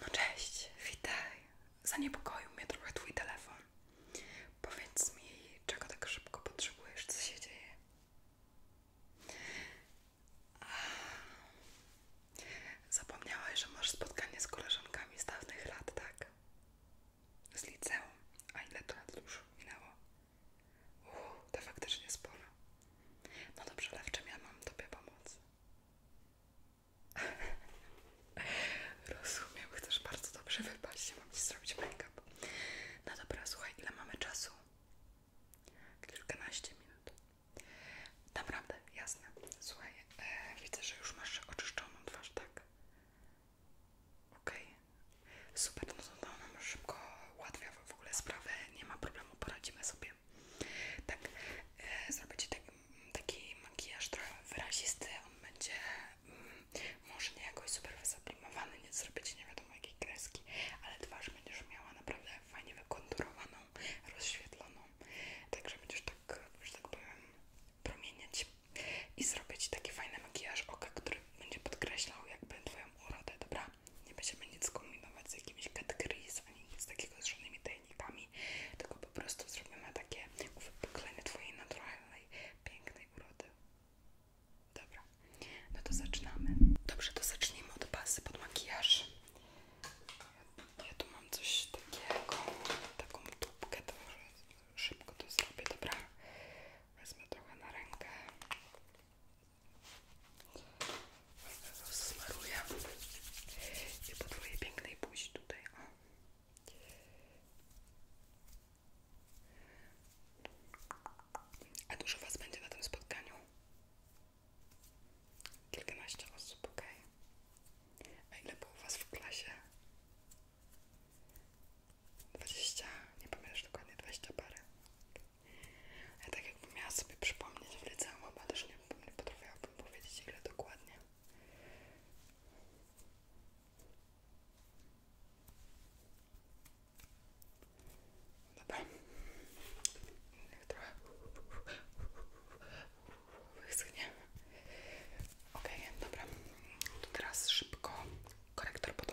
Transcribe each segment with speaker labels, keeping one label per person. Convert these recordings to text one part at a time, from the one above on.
Speaker 1: No cześć, witaj. Zaniepokoił mnie trochę twój telefon. Powiedz mi, czego tak szybko potrzebujesz, co się dzieje? Zapomniałaś, że masz spotkanie z koleżankami z dawnych lat, tak? Z liceum. A ile to lat już minęło? Uuu, to faktycznie sporo. No dobrze, lecz czym ja mam Tobie pomóc? Rozumiem, chcesz bardzo dobrze wypaść, mam ci zrobić make-up. No dobra, słuchaj, ile mamy czasu? Kilkanaście minut. Naprawdę, jasne. Słuchaj, e, widzę, że już masz oczyszczoną twarz, tak? OK. Super, no to nam szybko ułatwia w ogóle sprawę, nie ma problemu, poradzimy sobie siebie. Tak, e, zrobię taki, makijaż trochę wyrazisty, on będzie mm, może nie jakoś super wysublimowany, nie zrobić Ci nie wiadomo jakiej kreski, ale twarz będziesz miała naprawdę fajnie wykonturowaną, rozświetloną, także będziesz tak, że tak powiem, promieniać i zrobić taki fajny makijaż oka, który będzie podkreślał jakby Twoją urodę, dobra? nie będziemy nic kombinować z jakimiś categories, ani nic takiego z żadnymi tajnikami, tylko po prostu zrobimy takie uwypuklenie twojej naturalnej, pięknej urody. Dobra, no to zaczynamy. Dobrze, to zacznijmy od bazy pod makijaż. Ja, tu mam coś takiego, taką tubkę, to szybko to zrobię, dobra? Wezmę trochę na rękę. Smaruję i po twojej pięknej buzi tutaj, o. A dużo was będzie na tym spotkaniu? Kilkanaście osób, ok. A ile było was w klasie? Dwadzieścia, nie pamiętasz dokładnie, dwadzieścia parę. Ja tak jakbym miała sobie przypomnieć w liceum, chyba też nie, nie potrafiłabym powiedzieć ile dokładnie. Dobra. Niech trochę wyschnie. Okej, okay, dobra. To teraz szybko korektor pod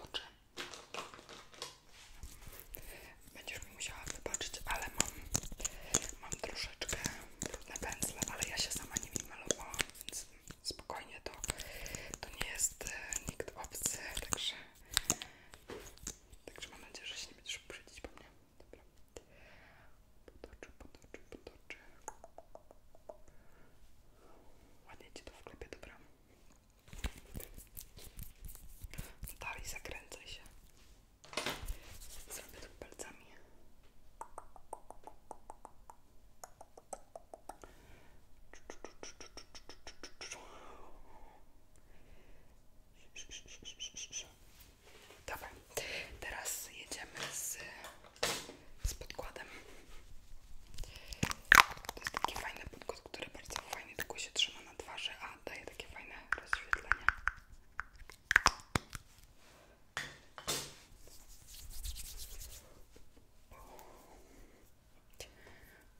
Speaker 1: Będziesz mi musiała wybaczyć, ale mam, mam troszeczkę trudne pędzle, ale ja się sama nie nimi malowałam, więc spokojnie to, to nie jest e, nikt obcy, także, także mam nadzieję, że się nie będziesz uprzedzić po mnie. Dobra. Potoczy, potoczy, potoczy. Ładnie ci to wklepie, dobra. Dalej zakręcaj się. Zrobię tu palcami. Dobra, teraz jedziemy z, z podkładem. To jest taki fajny podkład, który bardzo fajnie tylko się trzyma ma na twarzy, a daje takie fajne rozświetlenie.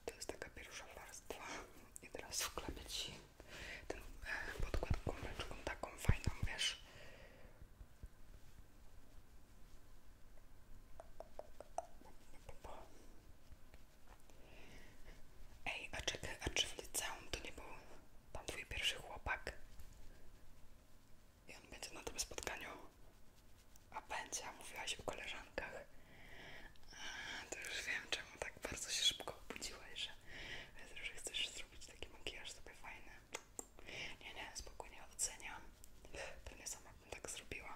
Speaker 1: To jest taka pierwsza warstwa i teraz wklepię Ci ten e, podkład gumeczką taką fajną, wiesz? Ej, a czekaj, a czy w liceum to nie był tam twój pierwszy chłopak? I on będzie na tym spotkaniu? A będzie, a mówiłaś o koleżankach. to już wiem, czemu tak bardzo się szybko obudziłaś, że, że chcesz zrobić taki makijaż sobie fajny. Nie, nie, spokojnie oceniam. nie sama tak zrobiła.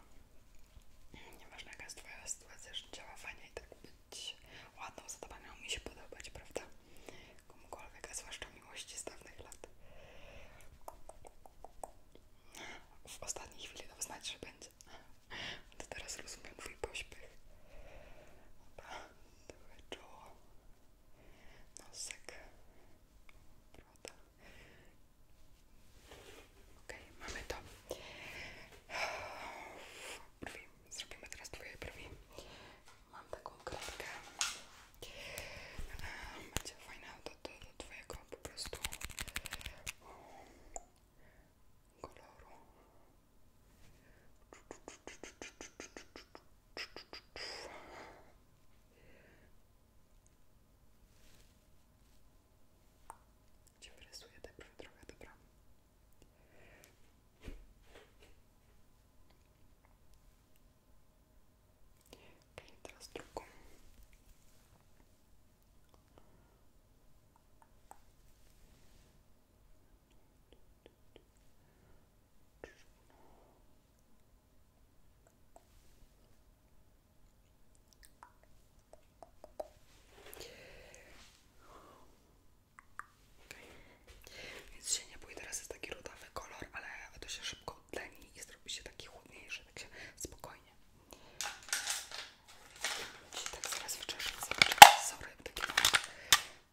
Speaker 1: Nieważne jaka jest Twoja sytuacja życiowa, fajnie i tak być ładną, zadbaną, mi się podobać, prawda? Komukolwiek, a zwłaszcza miłości z dawnych lat. W ostatniej chwili to znać, że będzie. To teraz rozumiem Twój pośpiech. Dobra, trochę czoło, nosek, broda. Okej, okay, mamy to. Brwi. teraz twoje brwi. Mam taką kredkę. Będzie fajna do, do, do twojego po prostu koloru. Cię wyrysuję najpierw tak trochę, dobra? teraz drugą. Okay. Więc się nie bój, teraz jest taki rudawy kolor, ale to się szybko odleni i zrobi się taki chłodniejszy, tak się spokojnie. Ci tak zaraz wcześniej zobaczymy, sorry, taki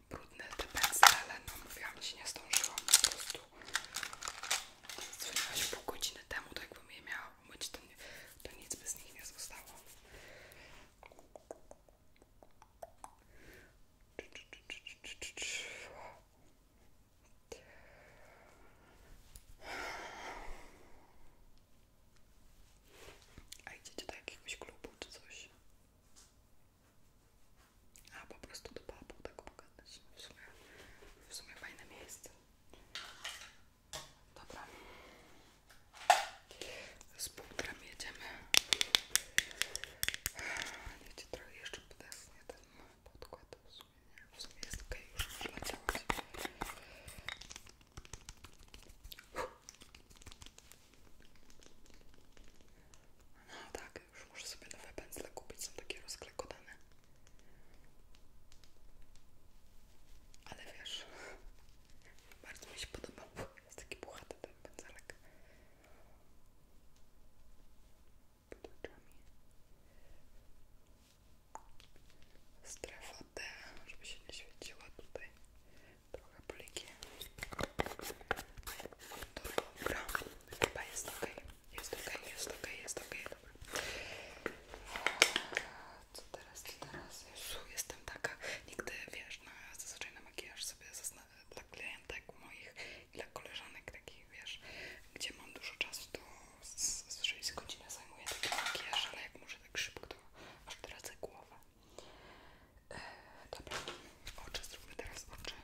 Speaker 1: brudny te pędzle, ale no mówiłam, się nie zdążyłam po prostu Dzwoniła się pół godziny temu, to jakbym miała umyć, to, nie, to nic by z nich nie zostało. A idziecie do jakiegoś klubu czy coś? A po prostu do papu tak pogadać. W sumie, w sumie fajne miejsce. Dobra. Z półtrem jedziemy. Wiecie, trochę jeszcze podesnie ten podkład. W sumie, nie. W sumie jest ok, już można No tak, już muszę sobie nowe pędzle kupić, są takie rozklekotane. Ale wiesz, bardzo mi się podoba, jest taki puchaty ten pędzelek. Pod oczami. Strefa D, żeby się nie świeciła tutaj. Trochę pliki. No dobra. Chyba jest ok, jest ok, jest ok, jest ok, dobra. Co teraz, co teraz? Jezu, jestem taka, nigdy wiesz, na, zazwyczaj na makijaż sobie dla klientek moich i dla koleżanek takich, wiesz, gdzie mam dużo czasu, to zazwyczaj z godzinę zajmuję taki makijaż, ale jak muszę tak szybko, to aż tracę głowę. E, dobra, oczy zróbmy teraz oczy.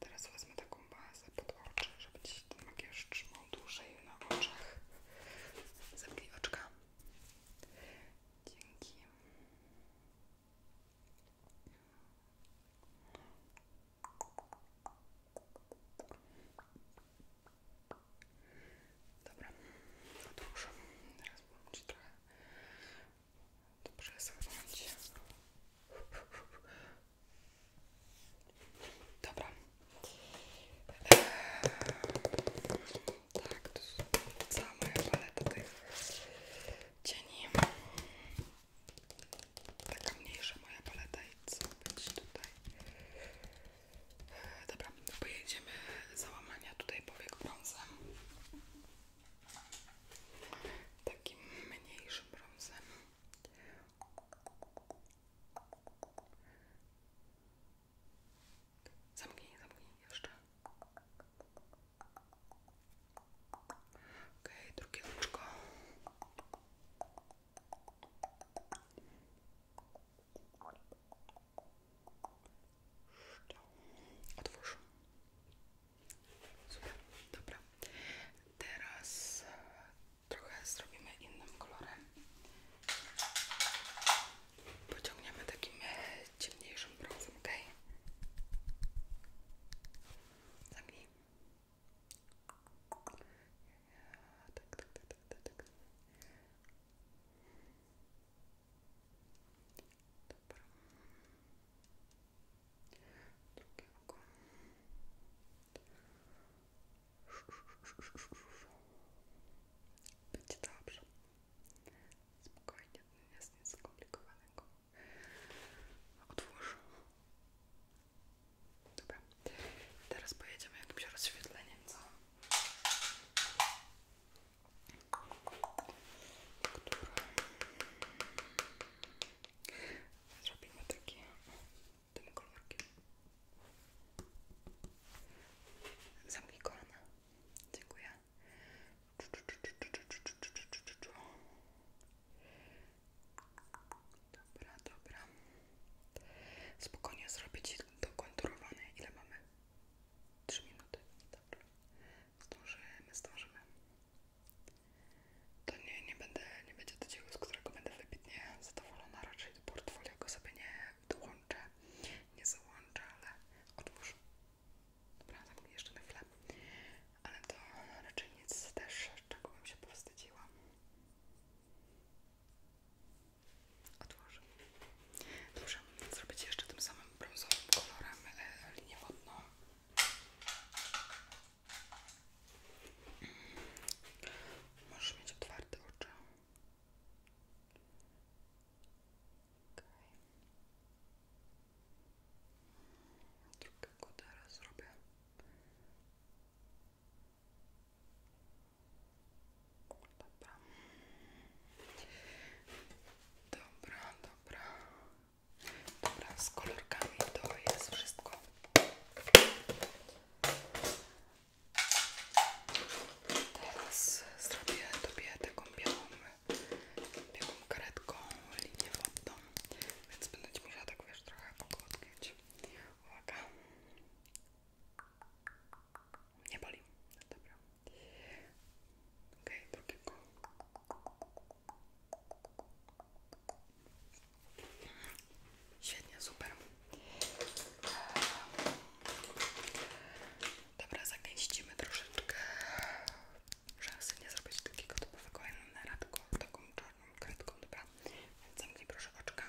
Speaker 1: Teraz wezmę taką bazę pod oczy, żeby się ten makijaż trzymał dłużej na oczach. Zamknij oczka. Dzięki. Dobra, odłóż. Teraz włączę trochę to przesunąć. Dobra. Eee, tak, to jest cała moja paleta tych cieni. Taka mniejsza moja paleta i co być tutaj. Eee, dobra, pojedziemy załamania tutaj powiek brązem takim mniejszym brązem. Zamknij, zamknij jeszcze. Okej, okay, drugie oczko. Otwórz. Super, Teraz e, trochę zrobimy innym kolorem. Pociągniemy takim e, ciemniejszym brązem, ok? Zamknij. Tak, tak, tak, drugie oko będzie dobrze spokojnie, to jest nic skomplikowanego otwórz dobra, teraz pojedziemy jakimś rozświetleniem, co? Które... Zrobimy takie tym kolorkiem. Zamknij kolana. Dziękuję. Dobra, dobra. Spokojnie zrobię ci dokonturowane. Ile mamy? 3 minuty. Dobrze. Zdążymy, zdążymy. To nie, nie, będę, nie będzie to dzieło, z którego będę wybitnie zadowolona. Raczej do portfolio go sobie nie dołączę, nie załączę, ale otwórz. Dobra, zamknij jeszcze na Ale to raczej nic też, czego bym się powstydziła. Otwórz. Dobrze, zrobię jeszcze tym samym brązowym kolorem e, linię wodną. Mm. Możesz mieć otwarte oczy. Okay. Drugiego teraz zrobię. Okay. Dobra. Dobra, dobra. z kolorkami to jest wszystko. Teraz zrobię Tobie taką białą, białą karetką linię wodną, więc będę Ci musiała tak wiesz trochę pogłaskać. Uwaga. Nie boli. Dobra. Ok, drugiego. Świetnie, super. Dobra, zagęścimy troszeczkę, żeby sobie nie zrobić takiego typowego enera, tylko taką czarną kredką, dobra? Więc zamknij proszę oczka.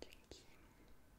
Speaker 1: Dzięki.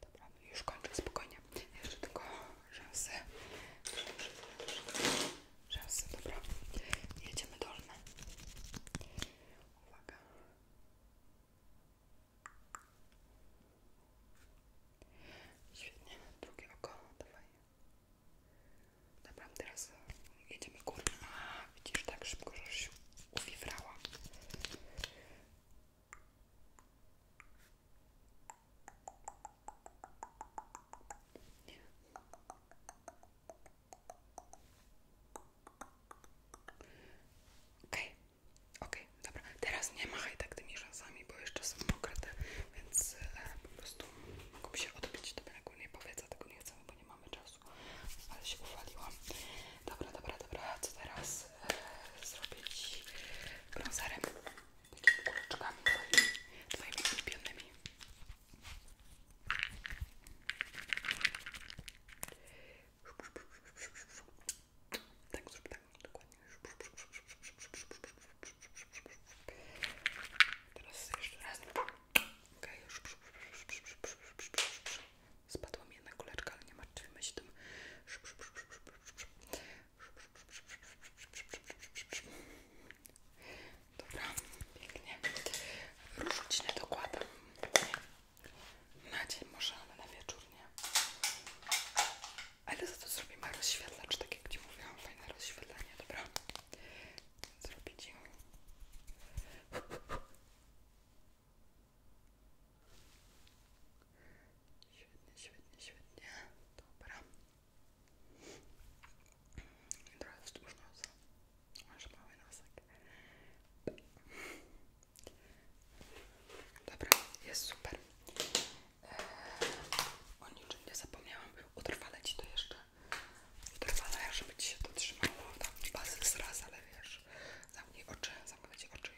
Speaker 1: Dobra, no już kończę spokojnie. Jeszcze tylko rzęsy. Rzęsy, dobra. Jedziemy dolne. Uwaga. Świetnie, drugie oko, dawaj. Dobra, teraz jedziemy górne A, widzisz, tak szybko, że się uwifrała. Okej, okay. okej, okay. dobra. Teraz nie machaj tak tymi rzęsami, bo jeszcze są mokre, więc e, po prostu mogą się odbić do brak. Nie powiedz, a tego nie chcemy, nie mamy czasu, ale się uwaliłam. Dobra, dobra, dobra, co teraz e, zrobić brązerem? Takimi kuleczkami twoimi, twoimi ulubionymi. Tak, zrób tak, dokładnie. Teraz jeszcze raz. Okej. Okay. Spadła mi jedna kuleczka, ale nie martwimy się tym. Dobra, pięknie. Różu ci nie Na dzień może, ale na wieczór nie. Ale za to zrobimy rozświetlacz, tak jak ci mówiłam, fajne rozświetlenie, dobra? Zrobić ci. Świetnie, świetnie, świetnie. Dobra. I trochę wzdłuż nosa. Masz mały nosek. Dobra, jest super. Eee, o niczym nie zapomniałam. Utrwalę Ci to jeszcze Drwala, żeby ci się to trzymało. Tam bazy z raz, ale wiesz, zamknij oczy, zamknij ci oczy.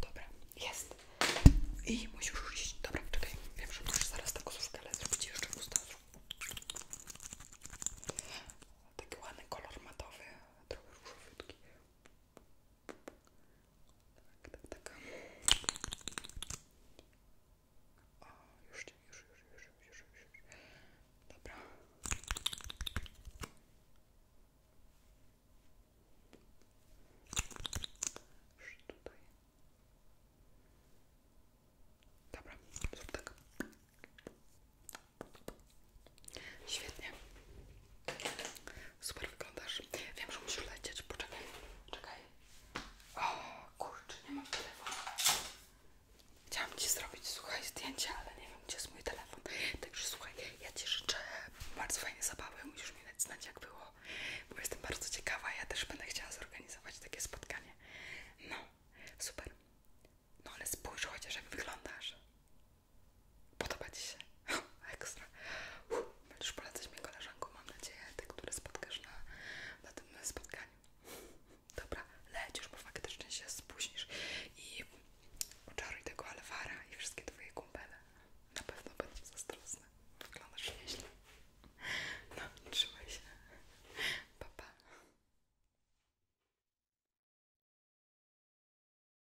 Speaker 1: Dobra, jest. I musisz już iść. Dobra, czekaj. Wiem, że musisz zaraz taką koszulkę, ale zrobić jeszcze usta. Taki ładny kolor matowy, trochę różowiutki. Tak, tak, tak. O, już, już, już, już, już, już, już. Dobra. Już tutaj. Dobra, zrób tak. Świetnie. Super wyglądasz. Wiem, że musisz lecieć. Poczekaj, czekaj. O, kurczę, nie mam telefonu. Chciałam Ci zrobić, słuchaj, zdjęcie, ale nie wiem, gdzie jest mój telefon. Także słuchaj, ja Ci życzę bardzo fajnej zabawy. Musisz mi dać znać, jak było, bo jestem bardzo ciekawa. Ja też będę chciała zorganizować takie spotkanie. No, super. No ale spójrz chociaż, jak wyglądasz. Podoba Ci się? Ekstra. Uff, będziesz polecać mnie koleżanką, mam nadzieję, te, które spotkasz na, na tym spotkaniu. Dobra, leć już, bo faktycznie się spóźnisz i oczaruj tego Alvara i wszystkie Twoje kumpele. Na pewno będą zazdrosne. Wyglądasz nieźle. No, trzymaj się. Pa,